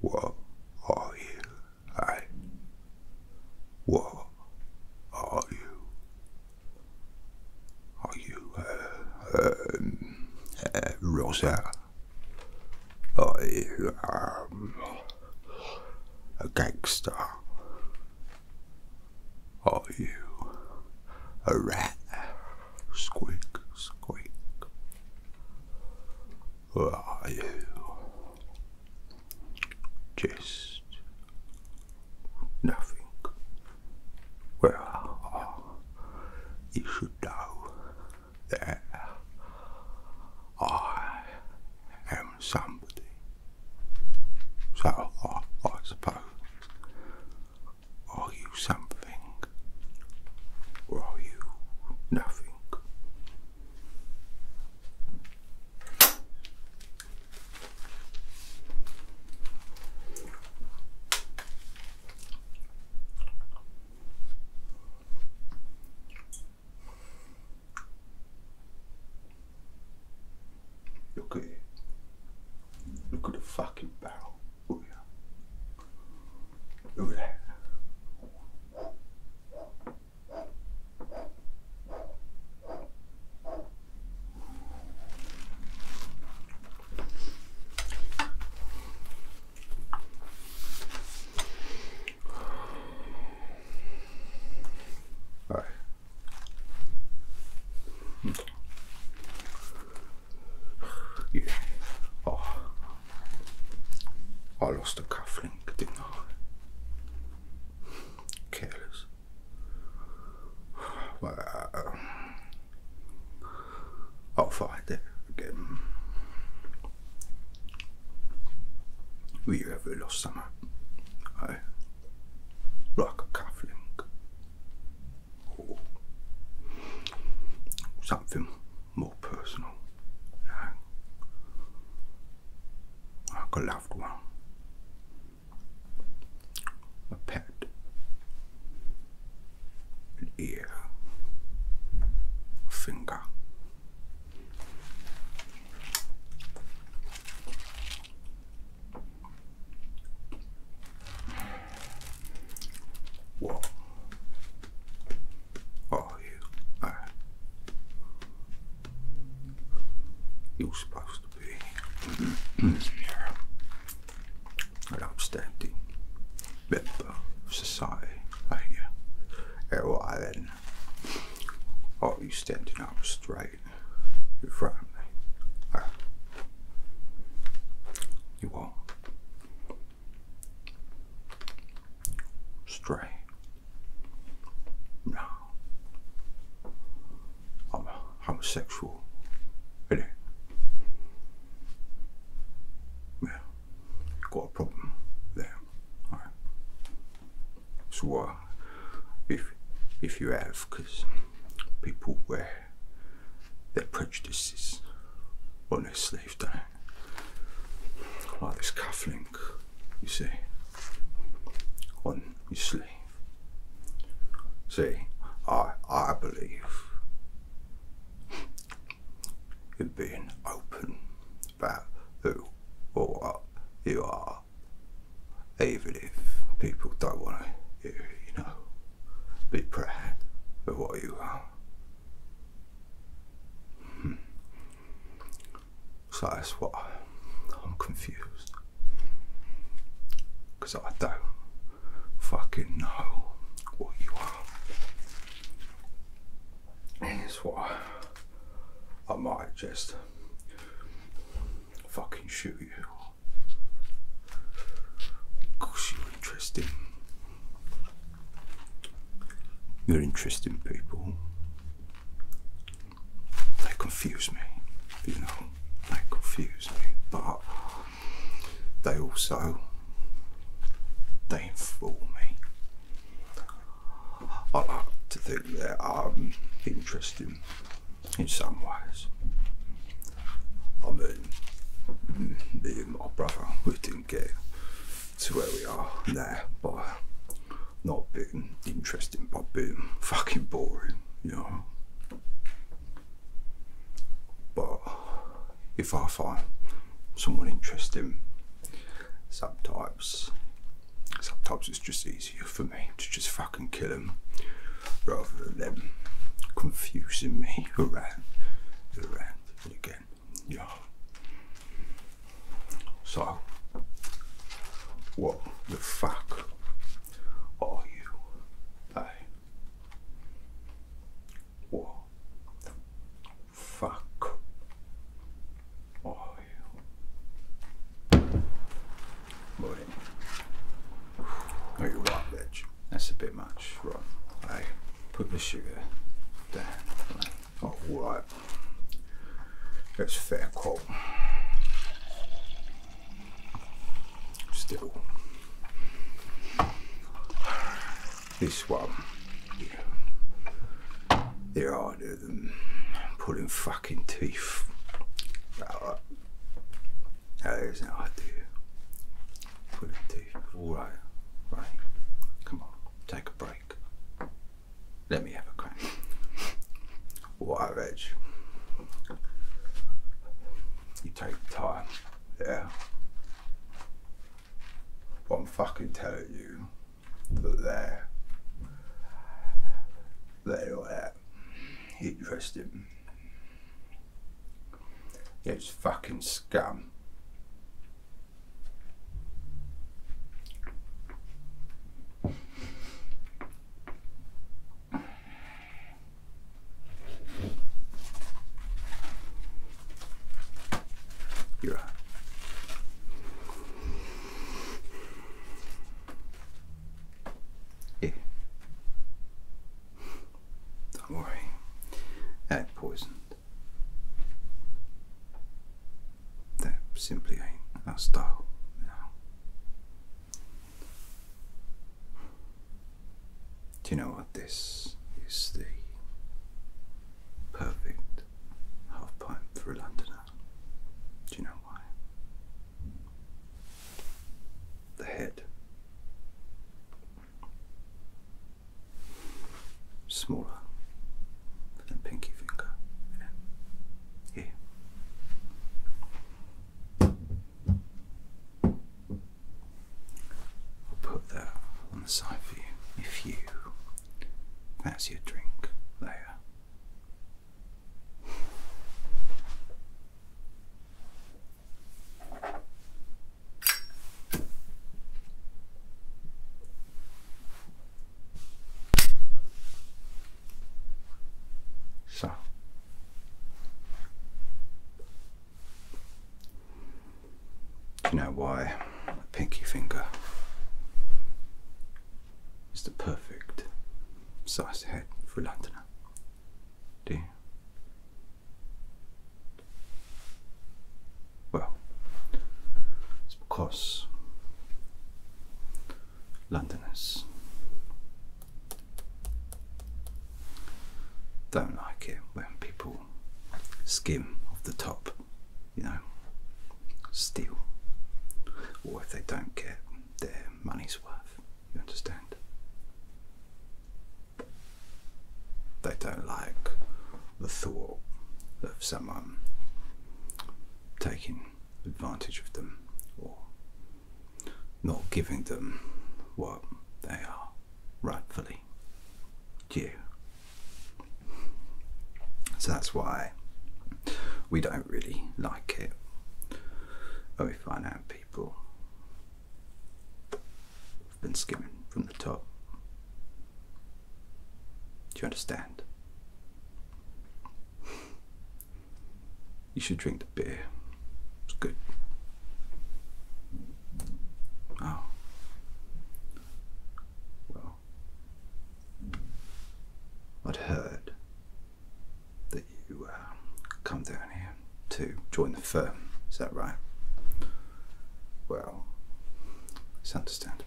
What are you? Hey, what are you? Are you uh, um, uh, Rosa? Are you um, a gangster? Are you a rat. Squeak, squeak. Where are you? Just nothing. Well, you should know that I am somebody. So I suppose are you something? Or are you nothing? Look at it. Look at the fucking barrel. Over there. Over there. All right. Yeah. Oh. I lost a cufflink, didn't I? Careless. Well, I'll find it again. Will you ever lost summer? I like a cufflink. something more personal. like a loved one, a pet, an ear, a finger. What are you You're supposed to be here. an upstanding member of society, are you? Alright then. Are you standing up straight in front of uh, you are. Stray. No. I'm a homosexual. Really? Yeah. Got a problem there. So, if, if you have, because people wear their prejudices on their sleeve, don't Like this cufflink, you see, on your sleeve. See, I, I believe in being open about who or what you are, even if people don't want to hear you know, be proud of what you are. Hmm. So that's what I'm confused. Because I don't fucking know what you are. And it's why I might just fucking shoot you. Because you're interesting. You're interesting people. They confuse me, you know, they confuse me, but they also they inform me. I like to think that I'm um, interesting in some ways. I mean, me and my brother, we didn't get to where we are now by not being interesting, but being fucking boring, you know. But if I find someone interesting, subtypes, sometimes it's just easier for me to just fucking kill them rather than them confusing me around again. Yeah. So, what the fuck are you? Hey. What the fuck are you? Morning. Are you right, bitch? That's a bit much. Right, I put the sugar down. Alright, let's fit a Still, this one, yeah. they're harder than pulling fucking teeth. Right. no idea. Put it all right, right. Come on, take a break. Let me have a crack. All right, Reg. You take time, yeah. What I'm fucking telling you that they're they're not that interesting. It's fucking scum. you yeah. Don't worry, that poisoned. That simply ain't our style now. Do you know what? This is the perfect half pint for a Londoner. Do you know why? The head smaller than pinky finger. Here. I'll put that on the side for you. If you that's your drink there. So do you know why a pinky finger is the perfect size head for a Londoner? Do well, it's because Londoners don't like it when people skim off the top, you know, steal, or if they don't get their money's worth, you understand? They don't like the thought of someone taking advantage of them or not giving them what they are rightfully due. So that's why we don't really like it. when we find out people I've been skimming from the top. Do you understand? You should drink the beer. It's good. Oh. Well, I'd heard that you uh, come down here to join the firm. Is that right? Well, it's understandable.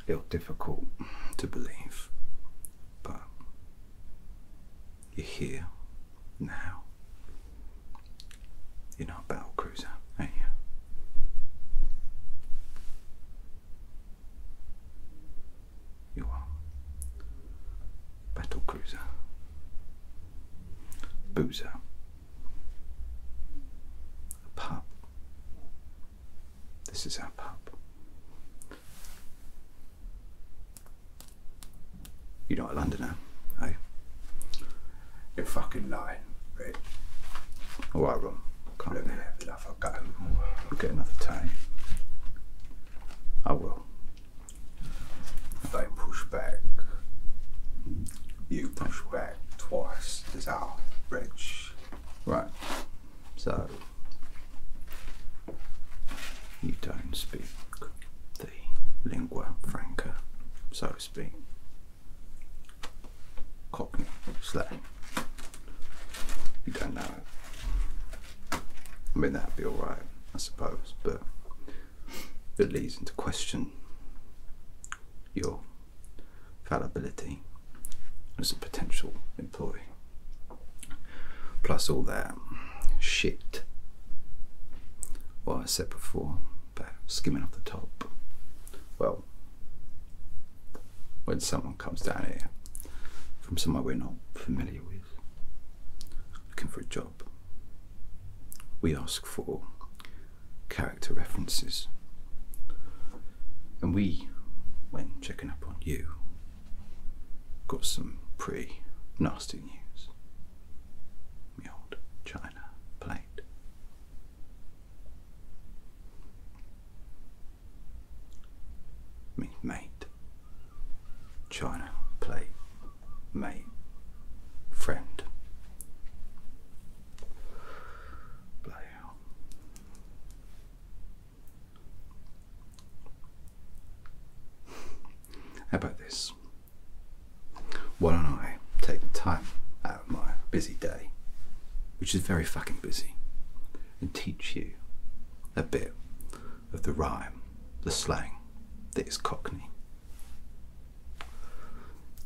A little difficult to believe, but you're here now. You're not a battle cruiser, ain't you? You are battle cruiser. Boozer. A pub. This is our pub. You're not a Londoner, hey? You're fucking lying, Red. Alright, Ron. Can't Let me have enough. I'll go. We'll get another time. I will. They push back. You push back twice is our bridge. Right. So you don't speak the lingua franca, so to speak. Cockney slang. You don't know I mean, that'd be alright, I suppose, but that leads into question your fallibility as a potential employee. Plus all that shit, what I said before about skimming off the top. Well, when someone comes down here from somewhere we're not familiar with, looking for a job. We ask for character references. And we, when checking up on you, got some pretty nasty news. The old China plate. I mate, China plate my friend. Bloody hell. How about this? Why don't I take time out of my busy day, which is very fucking busy, and teach you a bit of the rhyme, the slang that is Cockney.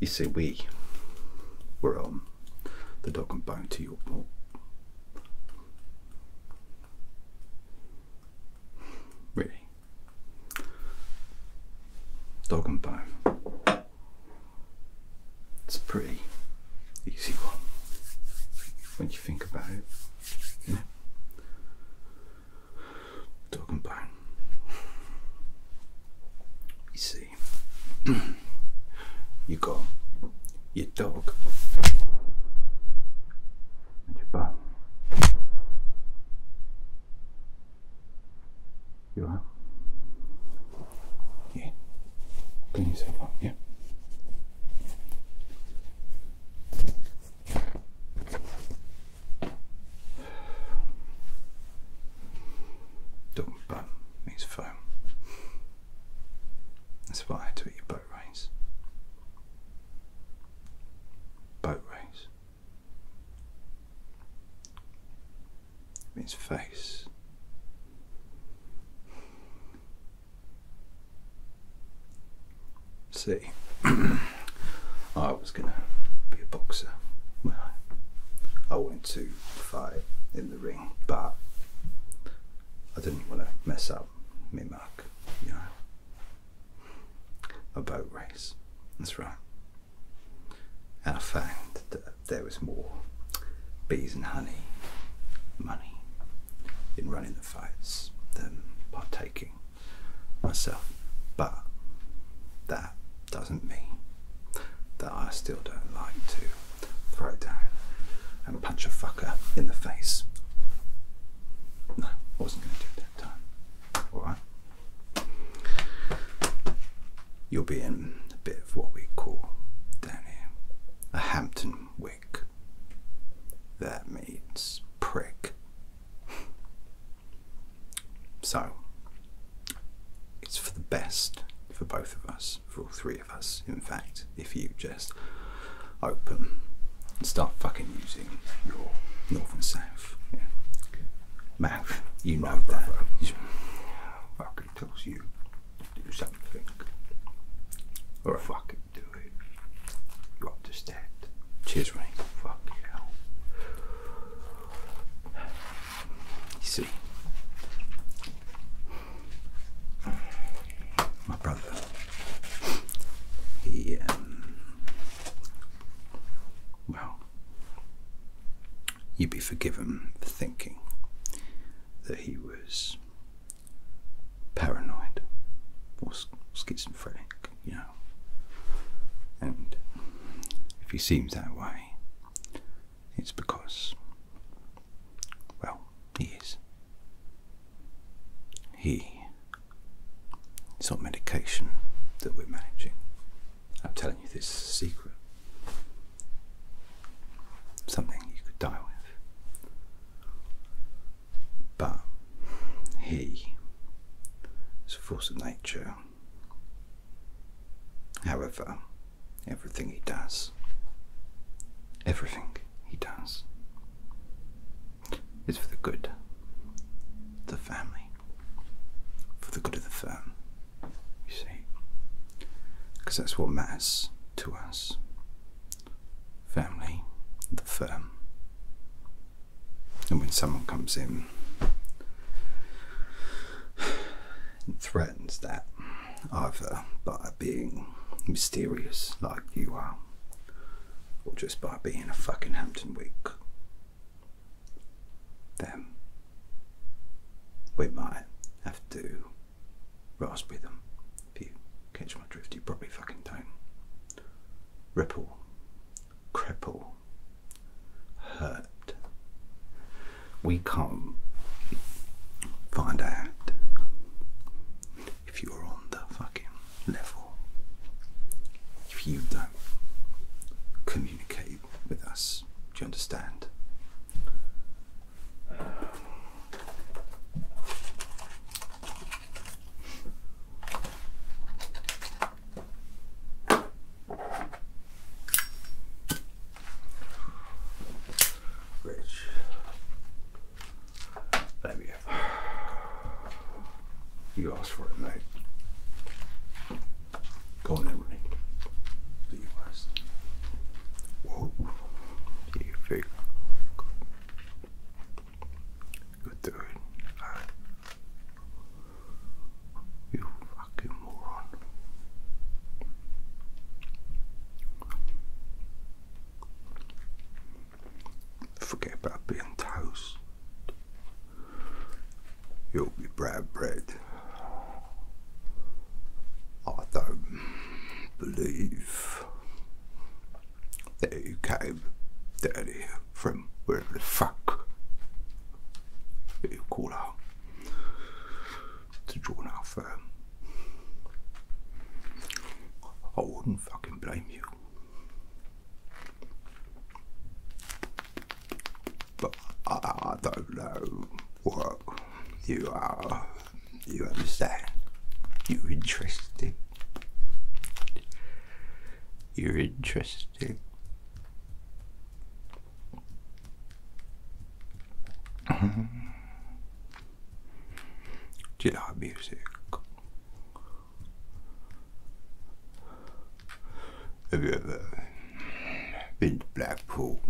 You see, we. were on um, the dog and bound to your Really? Dog and bone. It's a pretty easy one when you think about it talking about. You see, you got your dog and your bum. You are? Yeah. Clean yourself up, yeah. Dumba means foam. That's what I do to at your boat race. Boat race. means face see, I was going to be a boxer. Well, I wanted to fight in the ring, but I didn't want to mess up me mark, you know. A boat race, that's right. And I found that there was more bees and honey money in running the fights than partaking myself. But that doesn't mean that I still don't like to throw down and punch a fucker in the face. No, I wasn't going to do it that time. Alright? You'll be in a bit of what we call down here a Hampton wick. That means prick. So, it's for the best for both of us, for all three of us, in fact, if you just open and start fucking using your north and south mouth. You know that. Right, right. Fucking tells you to do something. Or right. fucking do it. You understand? Cheers, Ray. Fucking hell see, my brother, he, um, well, you'd be forgiven for thinking that he was paranoid or schizophrenic, you know. And if he seems that way, it's because, well, he is. He. It's not medication that we're managing. I'm telling you this secret. Something you could die with. But he, as a force of nature, However, everything he does, everything he does, is for the good the family, for the good of the firm, you see, because that's what matters to us. Family, the firm, and when someone comes in and threatens that, either by being mysterious like you are, or just by being a fucking Hampton Week, then we might have to rasp with them. If you catch my drift, you probably fucking do Ripple cripple, hurt. We can't find out if you're on the fucking level. If you don't communicate with us, do you understand? Rich. that You asked for it, mate. Go on, Emery. Do your best. Whoa. Do you feel? Good dude. Right. You fucking moron. Forget about being toast. You'll be bread bread. I don't believe that you came down from wherever the fuck you call out to join our firm. I wouldn't fucking blame you. But I don't know what you are. You understand? You're interested. You're interested you Jedi music. Have you ever been to Blackpool?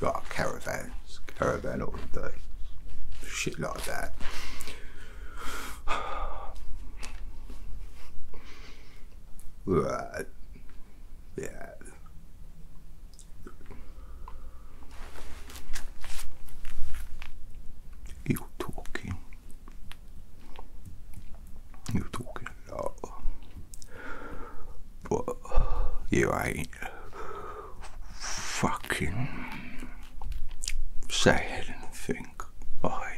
got caravans, caravan all the shit like that. Right. Yeah. You talking. You talking a you ain't fucking saying anything think I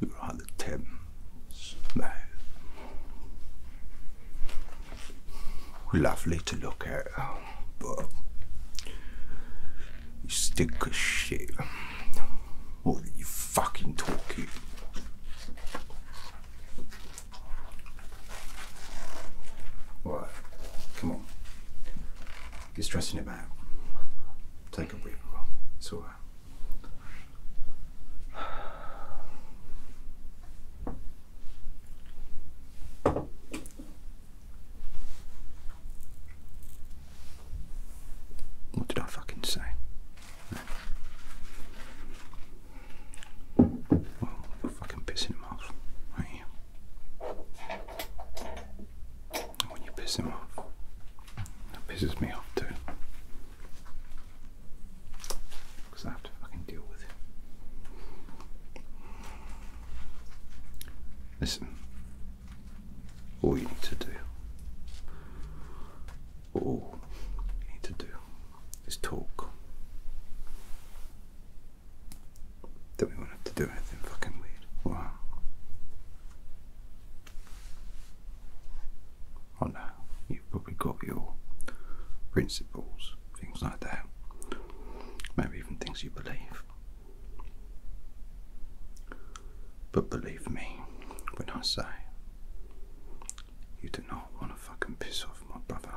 You are the Thames man. Lovely to look at, but you stink of shit. What are you fucking talking? What? Come on. You're stressing him Take a breather. It's all right. What did I fucking say? Well, I've fucking pissing him off, mouth right here. And when you piss him off, that pisses me off too. Because I have to fucking deal with him. Listen, all you need to do, all you need to do is talk. Then we will have to do anything fucking weird. Wow. Oh no, you've probably got your principles, things like that. Maybe even things you believe. But believe me when I say you do not want to fucking piss off my brother.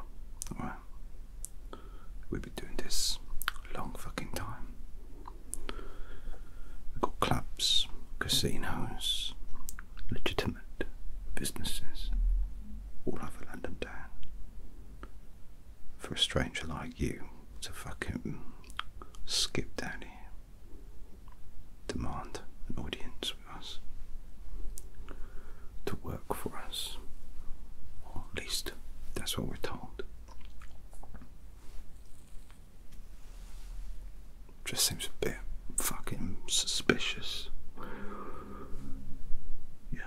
We've been doing this a long fucking time. We've got clubs, casinos, legitimate businesses all over London town. For a stranger like you to fucking skip down here, demand an audience us, to work for us, or at least that's what we're told. Just seems a bit fucking suspicious. You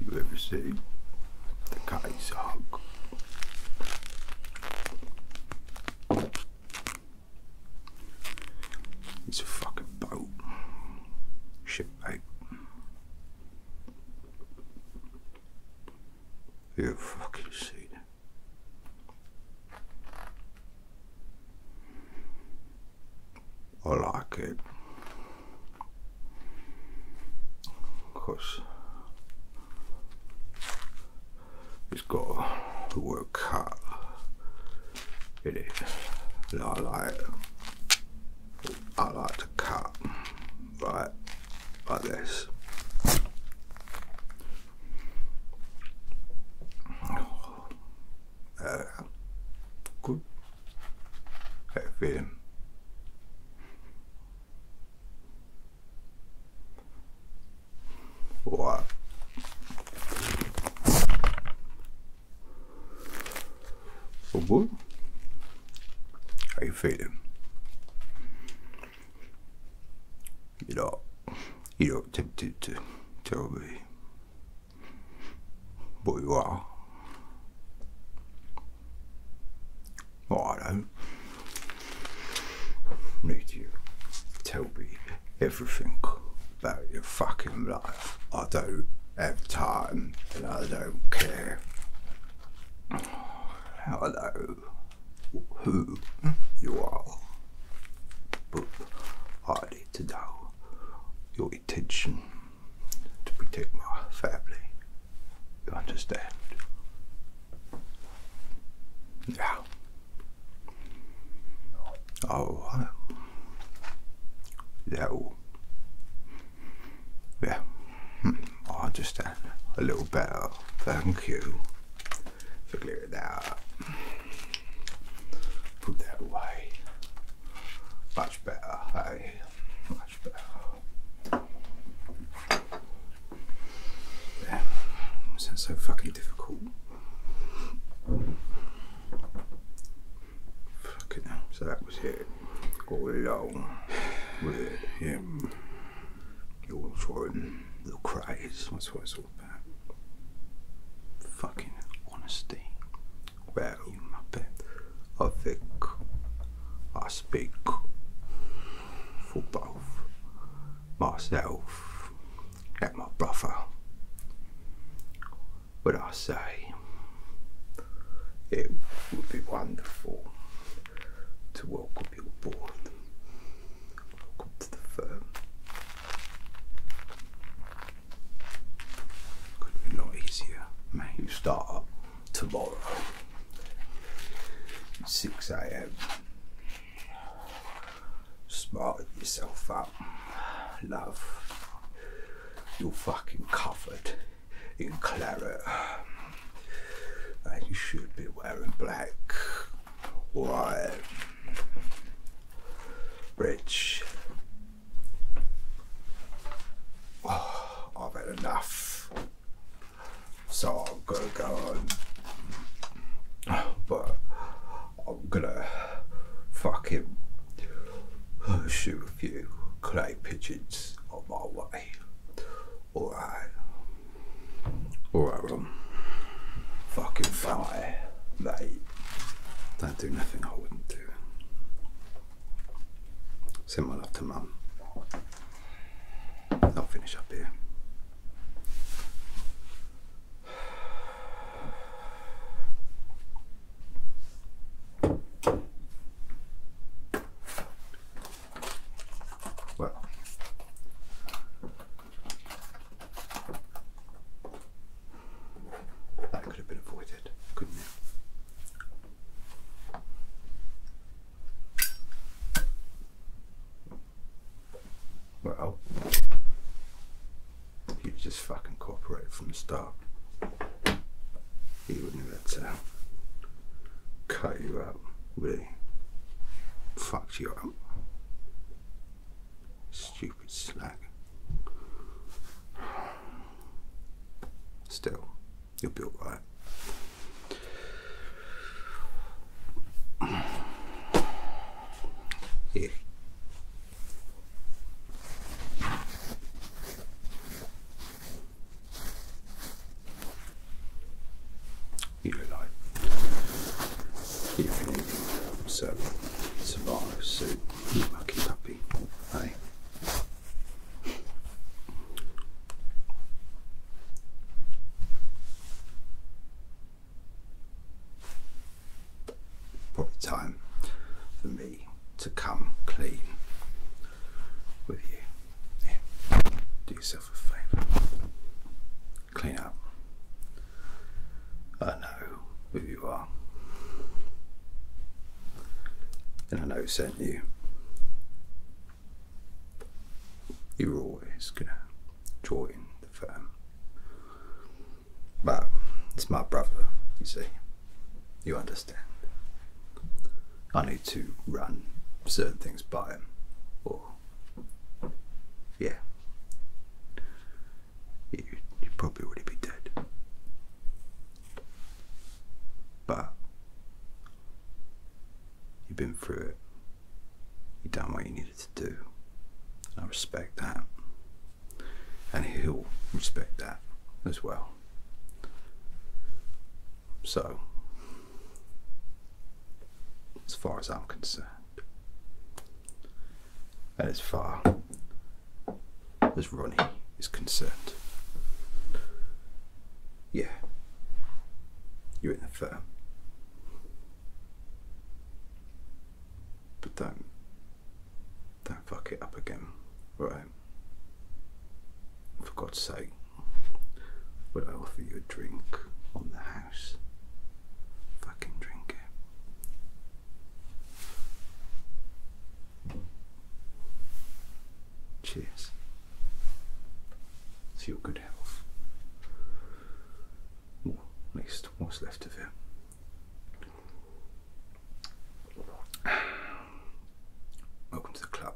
you ever see the Kaiser? hog? It's a fucking boat. Shit, Shipmate. you ever fucking seen Olá, que because it's got to work hard in it. And I like I like to cut right like this. Uh, gut. Film. Boah. Obwohl, ich fehle. You know, you don't think to, tell me what you are. Well, I don't need you tell me everything about your fucking life. I don't have time and I don't care. I know who you are, but I need to know your intention to protect my family. You understand? Oh, yeah. Oh, yeah. Yeah, I understand a little better. Thank you. So clear that up. Put that away. Much better, hey? Much better. Sounds so fucking difficult. Fucking hell. So that was it. All along with him, You're trying little craze. That's what it's all fucking honesty. Well, I think I speak for both myself and my brother. But I say it would be wonderful to welcome you're bored. Welcome to the firm. Could be a lot easier, mate. You start up tomorrow, 6 a.m. Smarten yourself up, love. You're fucking covered in claret. you should be wearing black. Why? Rich. Oh, I've had enough. So I'm gonna go on. But I'm gonna fucking shoot a few clay pigeons on my way. Alright. Alright, Ron. Fucking fly. Mate. Don't do nothing I wouldn't do. Send my love to mum. I'll finish up here. Well, that could have been avoided, couldn't it? Well, he just fucking cooperated from the start. He wouldn't have had to cut you up, would Fucked you up. Stupid slag. Still, you will be all right. Here you like. If anything, so survive, so you lucky puppy, hey? Probably time for me to come clean with you. Do yourself a favour. Clean up. I know who you are. And I know who sent you. You are always going to join the firm. But it's my brother, you see. You understand. I need to run certain things by him, or yeah. You, you probably already be dead. But you've been through it. You've done what you needed to do. I respect that. And he'll respect that as well. So, as far as I'm concerned. And as far as Ronnie is concerned. Yeah, you're in the firm. But don't, don't fuck it up again, right? For God's sake, would I offer you a drink on the hand? Fucking drink it. Cheers. To your good health. Or at least what's left of it. Welcome to the club.